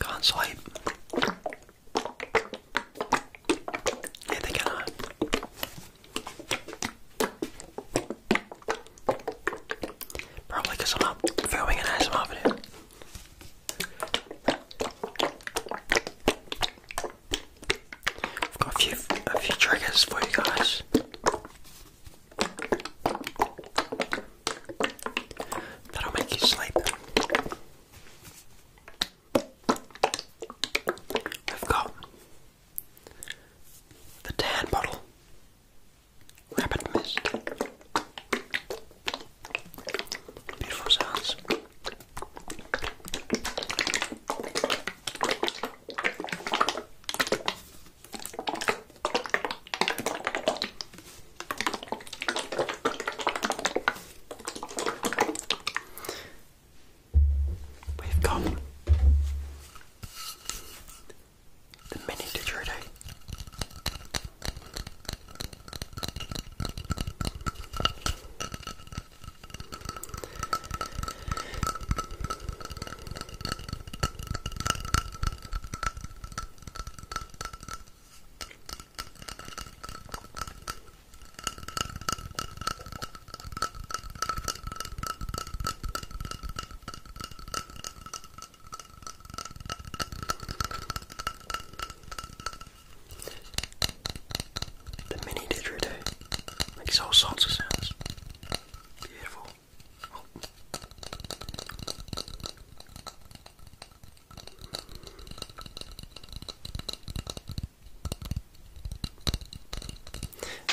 Can't sleep. Yeah, they cannot. Probably because I'm not filming an ASMR video. I've got a few a few triggers for you guys. That'll make you sleep. We've got the tan bottle, rapid mist, beautiful sounds. We've got the mini didgeridoo. The mini didgeridoo makes all sorts of sounds. Beautiful. Oh.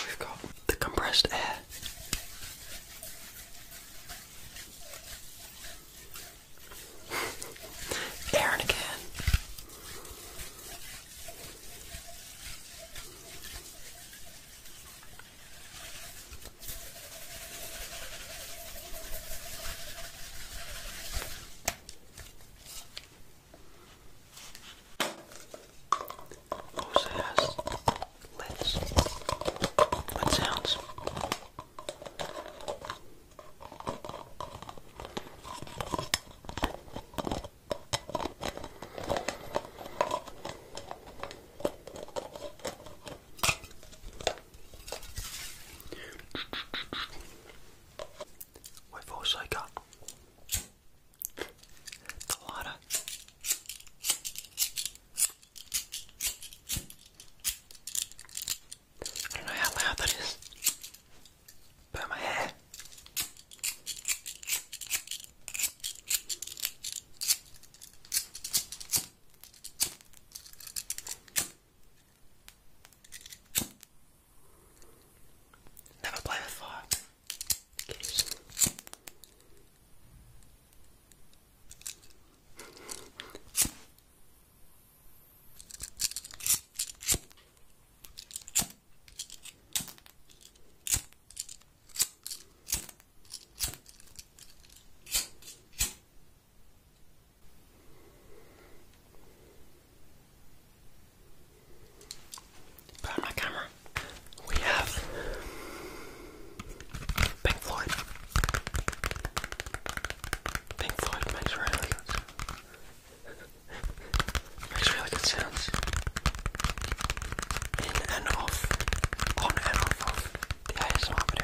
We've got the compressed air. Aaron again. Also has lids. Lid sounds. We've also got the lighter. I don't know how loud that is. Burn my hair. Never play with fire. Kitties. Put on my camera. We have Pink Floyd. Pink Floyd makes really Makes really good sense. In and off. On and off of the ASMR video.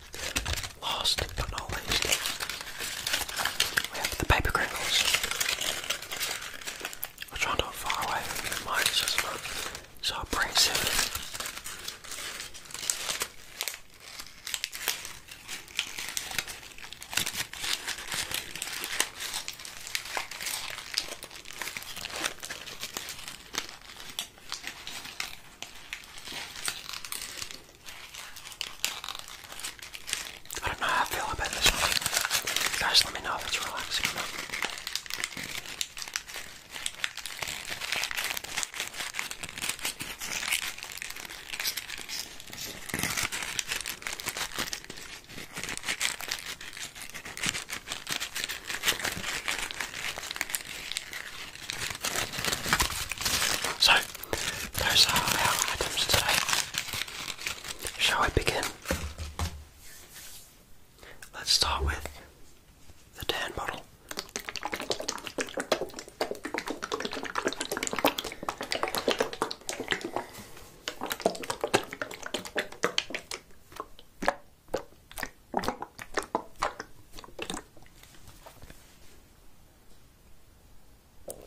Last but not least, we have the paper crinkles, which are not far away. Mine's just not so abrasive. I don't know how I feel about this one. Guys, let me know if it's relaxing or not. So, those are our items today. Shall we begin? Let's start with the tan bottle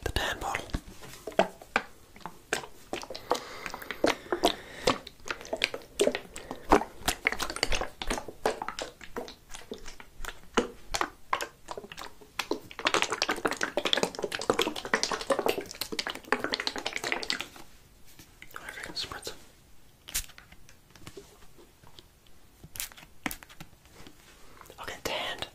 the damn bottle. I spritz I'll get tanned.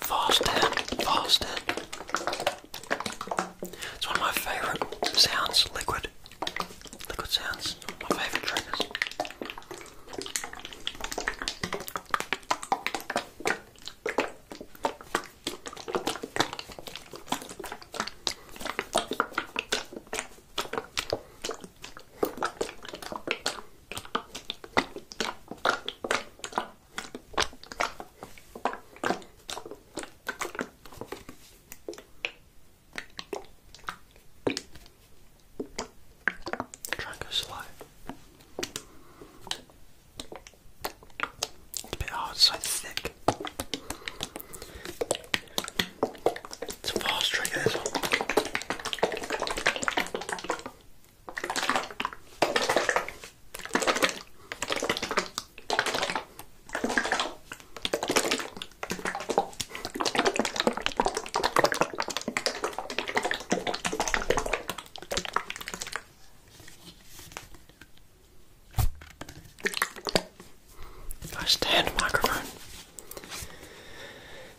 Faster, faster. It's one of my favourite sounds, liquid. Liquid sounds, my favourite triggers. Try and go slow. It's a bit hard, so thick. It's a fast trigger, this one. I stand microphone.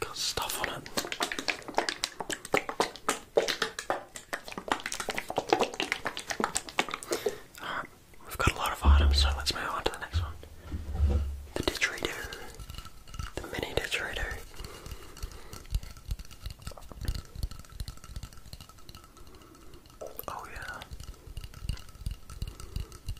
Got stuff on it. we've got a lot of items, so let's move on to the next one. The didgeridoo. The mini didgeridoo. Oh yeah.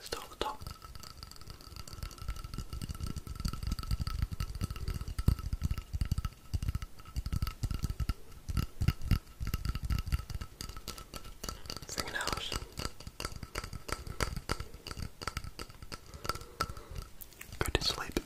Start at the top. Fingernails. Go sleep.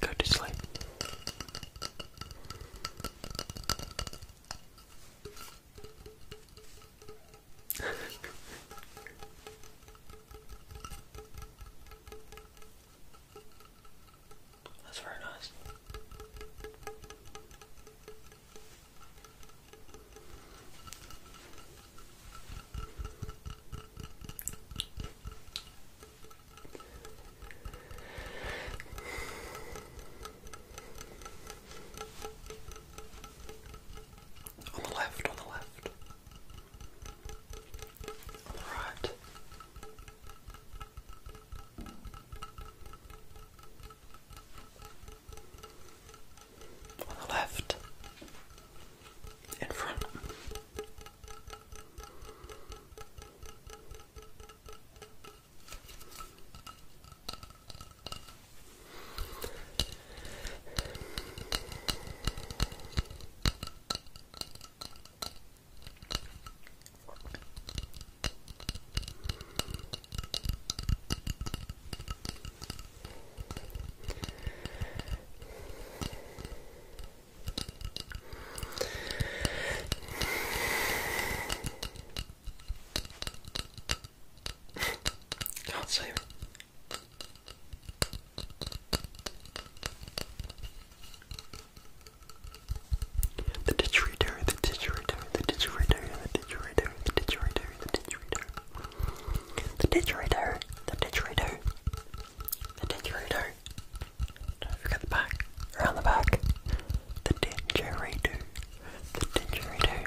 Go to sleep. That's very nice. On the left, on the left, on the right on the left, in front. Can't say it. The didgeridoo, the didgeridoo, the didgeridoo, the didgeridoo, the didgeridoo, the didgeridoo. The didgeridoo, the didgeridoo, the didgeridoo. Don't forget the back, around the back. The didgeridoo, the didgeridoo.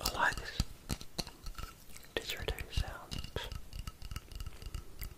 I like this. Discerning sounds.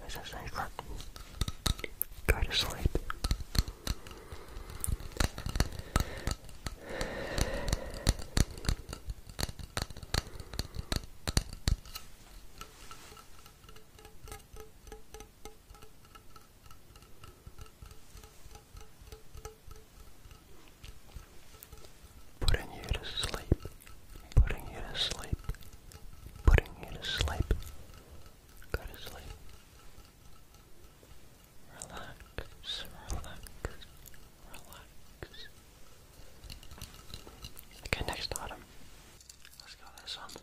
I a cyclone. Go to sleep. Putting you to sleep putting you to sleep, putting you to sleep. Go to sleep. Relax, relax, relax. Okay, next item. Let's go this one.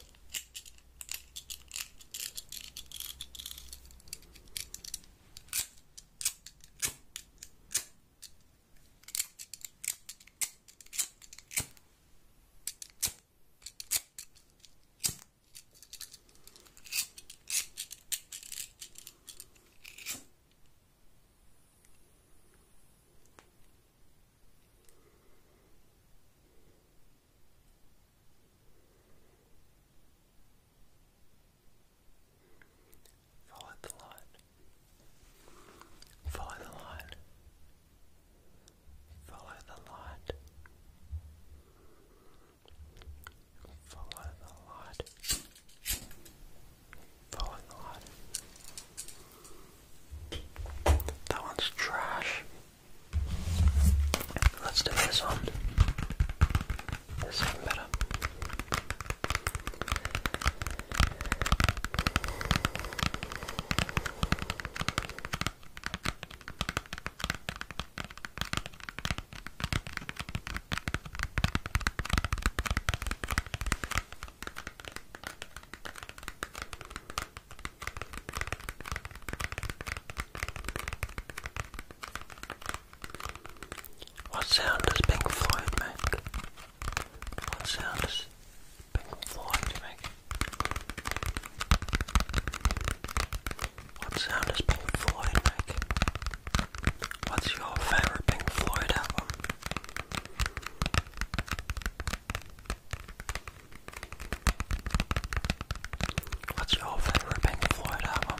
Follow the light. Follow the light. Follow the light. Follow the light. Follow the light. That one's trash. Let's do this one. This one better. What sound does Pink Floyd make? What sound does penguin fly make? What sound does Pink Floyd make? What's your favorite Pink Floyd album? What's your favorite Pink Floyd album?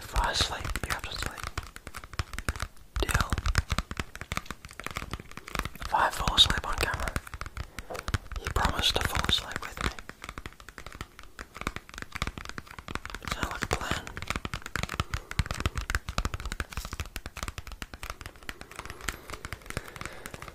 For us, you're just like, deal. If I fall asleep on camera, you promise to fall asleep with me. Sound like plan?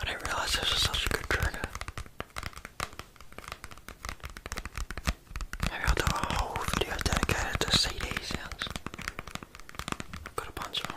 I didn't realize this was such a good trigger. Maybe I'll do a whole video dedicated to CD sounds. got a bunch of them.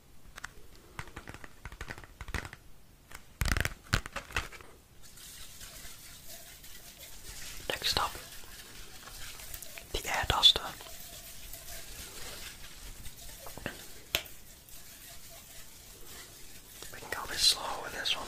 Next up, the air duster. We can go a bit slow with this one.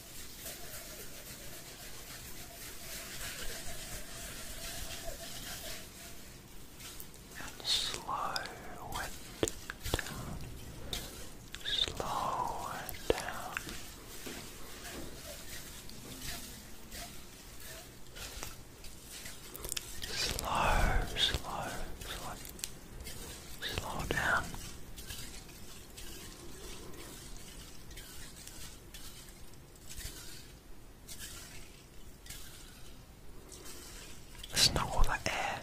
slow it down. Slow it down. Slow, slow, slow. Slow down. It's not all that air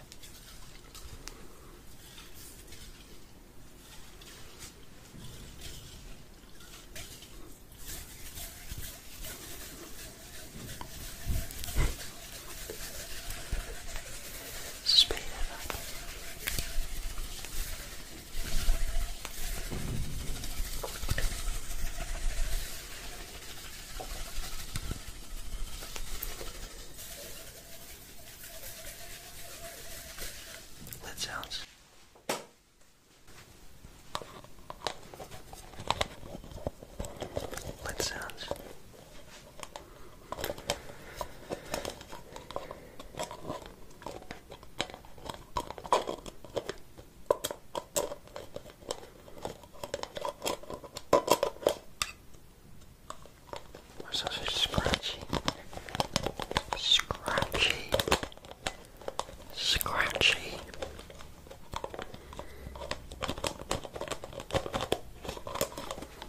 speed it up. That sounds. That sounds. My sausage is scratchy, scratchy, scratchy.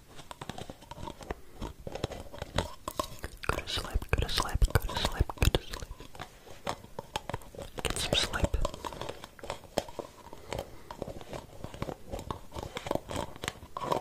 Go to sleep, go to sleep, go to sleep, go to sleep. Get some sleep. Good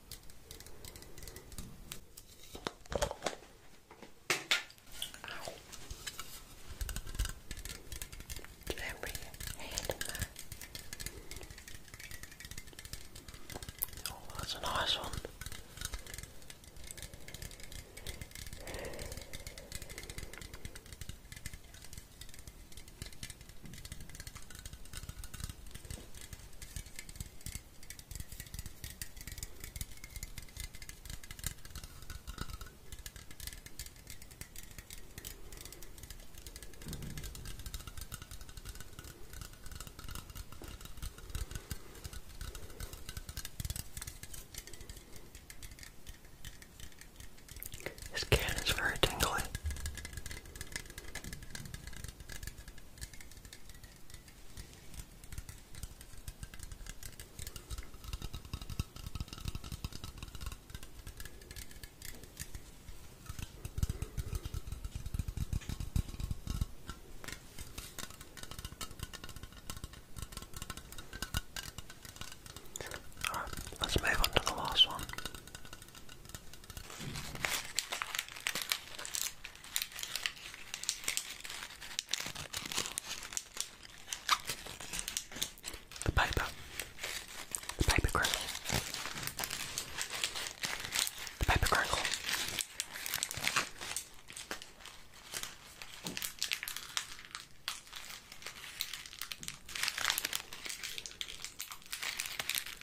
Ow. Every Oh, that's a nice one. This can is very tingly. Alright, let's move on to the last one. The paper, the paper crackle, the paper crackle.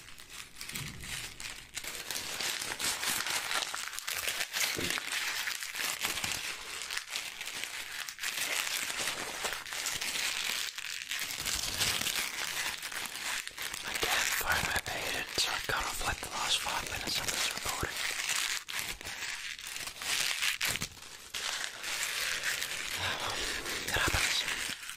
My cat phone overheated, so I cut off like the last five minutes of this recording. Um, it happens.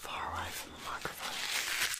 Far away from the microphone.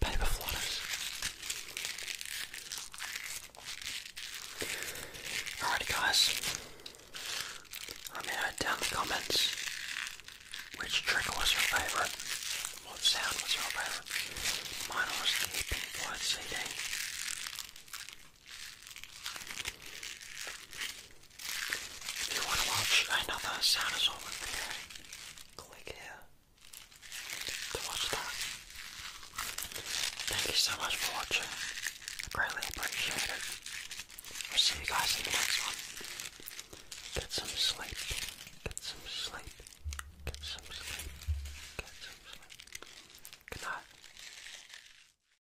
Paper flutters. Alrighty guys, let me know down in the comments which trick was your favourite, what sound was your favourite. Mine was the Pink Floyd CD. If you want to watch another Sonosaurus video, click here to watch that. Thank you so much for watching. I greatly appreciate it. I'll see you guys in the next one. Get some sleep. Get some sleep. Get some sleep. Get some sleep. Good night.